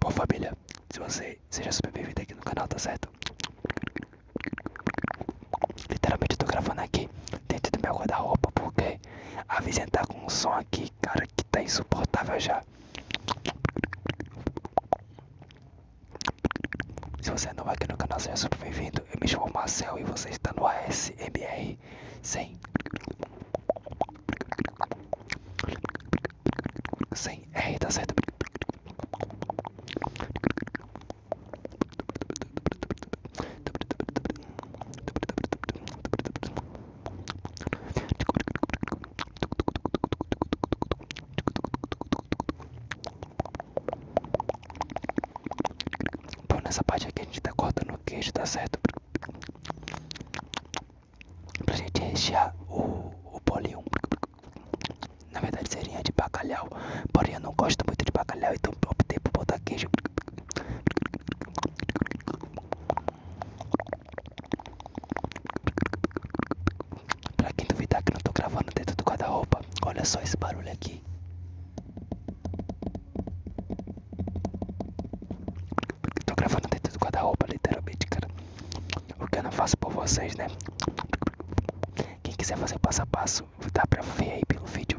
Bom família, se você seja super bem-vindo aqui no canal, tá certo? Literalmente eu tô gravando aqui dentro do meu guarda-roupa porque a vizinha tá com um som aqui, cara, que tá insuportável já. Se você é novo aqui no canal, seja super bem-vindo. Eu me chamo Marcel e você está no ASMR aqui sem sem R, tá certo? Então nessa parte aqui a gente tá cortando o queijo, tá certo? Pra gente rechear o, o bolinho. Na verdade seria de bacalhau, porém eu não gosto muito de bacalhau, então optei por botar queijo. Pra quem duvidar que não tô gravando dentro do guarda-roupa, olha só esse barulho aqui. Tô gravando dentro do guarda-roupa, literalmente, cara. O que eu não faço por vocês, né? Quem quiser fazer passo a passo, dá pra ver aí pelo vídeo.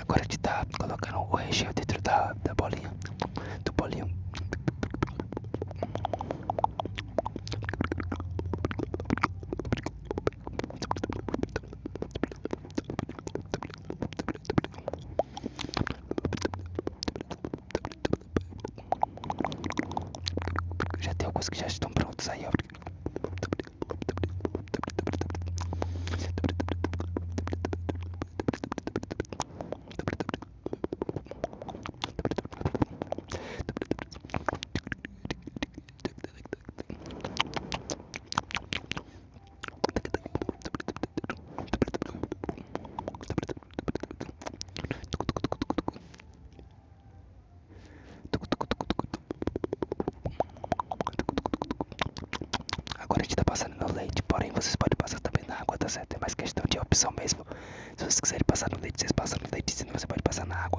Agora de tá colocando o recheio dentro da, da bolinha, do bolinho. Já tem alguns que já estão prontos aí, ó. Agora a gente tá passando no leite, porém vocês podem passar também na água, tá certo? É mais questão de opção mesmo. Se vocês quiserem passar no leite, vocês passam no leite, senão você pode passar na água.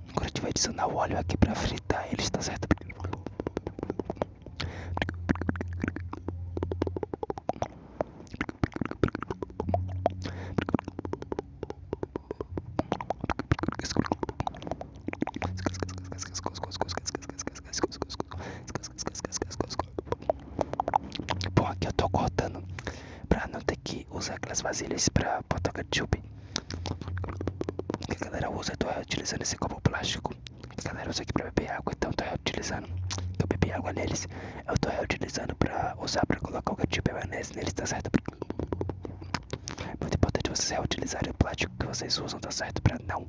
Agora a gente vai adicionar o óleo aqui pra fritar eles, tá certo? Bom, aqui eu tô cortando pra não ter que usar aquelas vasilhas pra botar o ketchup. Que a galera usa, eu tô reutilizando esse copo plástico. Que a galera usa aqui pra beber água, então eu tô reutilizando. Eu bebi água neles, eu tô reutilizando pra usar pra colocar o ketchup e maionese neles, tá certo? Muito importante vocês reutilizarem o plástico que vocês usam, tá certo? Pra não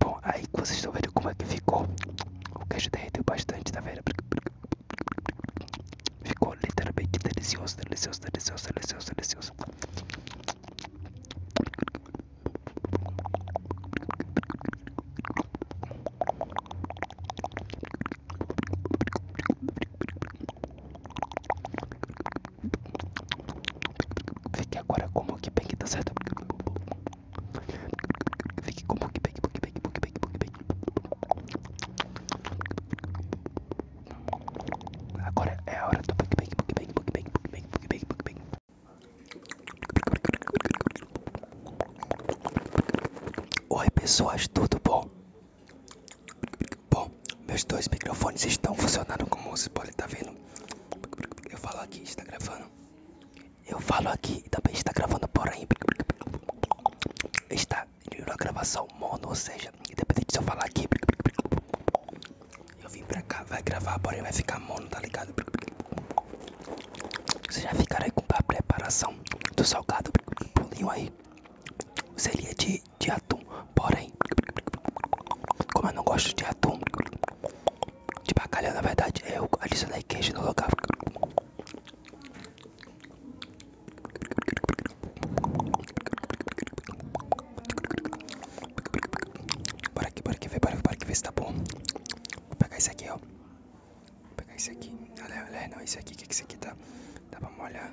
Bom, aí que vocês estão vendo como é que ficou. O queijo derreteu bastante, tá vendo? Ficou literalmente delicioso, delicioso, delicioso, delicioso, delicioso. Fique agora como que bem que tá certo. Fique com mukbang, mukbang, mukbang, mukbang. Agora é a hora do mukbang, mukbang, mukbang, mukbang, mukbang, mukbang. Oi pessoas, tudo bom? Bom, meus dois microfones estão funcionando como você pode estar tá vendo. Eu falo aqui, está gravando. Eu falo aqui, também está gravando porém. Está a gravação mono, ou seja, independente de eu falar aqui. Eu vim pra cá, vai gravar, porém vai ficar mono, tá ligado? Vocês já ficaram aí com a preparação do salgado, bolinho aí. Seria de, de atum, porém, como eu não gosto de atum, de bacalhau, na verdade, é eu adicionei queijo no lugar. Bora aqui, bora aqui, ver, bora, bora aqui ver se tá bom. Vou pegar esse aqui, ó. Vou pegar esse aqui. Olha, olha, não, esse aqui, que que esse aqui tá? Dá pra molhar.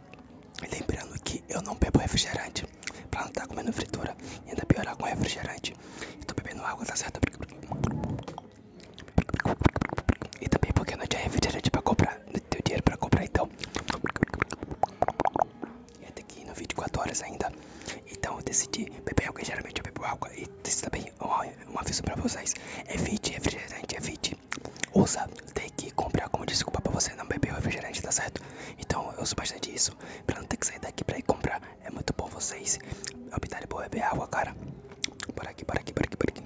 Lembrando que eu não bebo refrigerante pra não estar tá comendo fritura e ainda piorar com refrigerante. Estou bebendo água, tá certo? E também porque não tinha refrigerante pra comprar, não tenho dinheiro pra comprar então. E até aqui no 24 horas ainda. Então eu decidi beber água, geralmente eu bebo água. E também, um, aviso pra vocês: evite refrigerante, evite usa tem que comprar como desculpa pra você não beber o refrigerante, tá certo? Então eu uso bastante isso pra não ter que sair daqui pra ir comprar. É muito bom vocês optarem por beber água, cara. Por aqui, por aqui, por aqui, por aqui.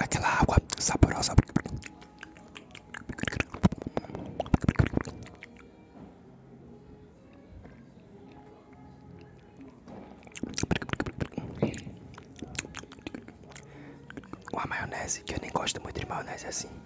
Aquela água saborosa. Uma maionese que eu nem gosto muito de maionese assim.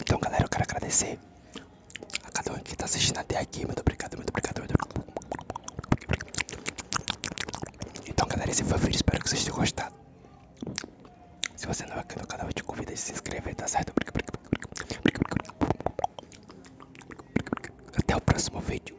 Então, galera, eu quero agradecer a cada um que está assistindo até aqui. Muito obrigado, muito obrigado. Então, galera, esse foi o vídeo. Espero que vocês tenham gostado. Se você não é aqui no canal, eu te convido a se inscrever, tá certo? Até o próximo vídeo.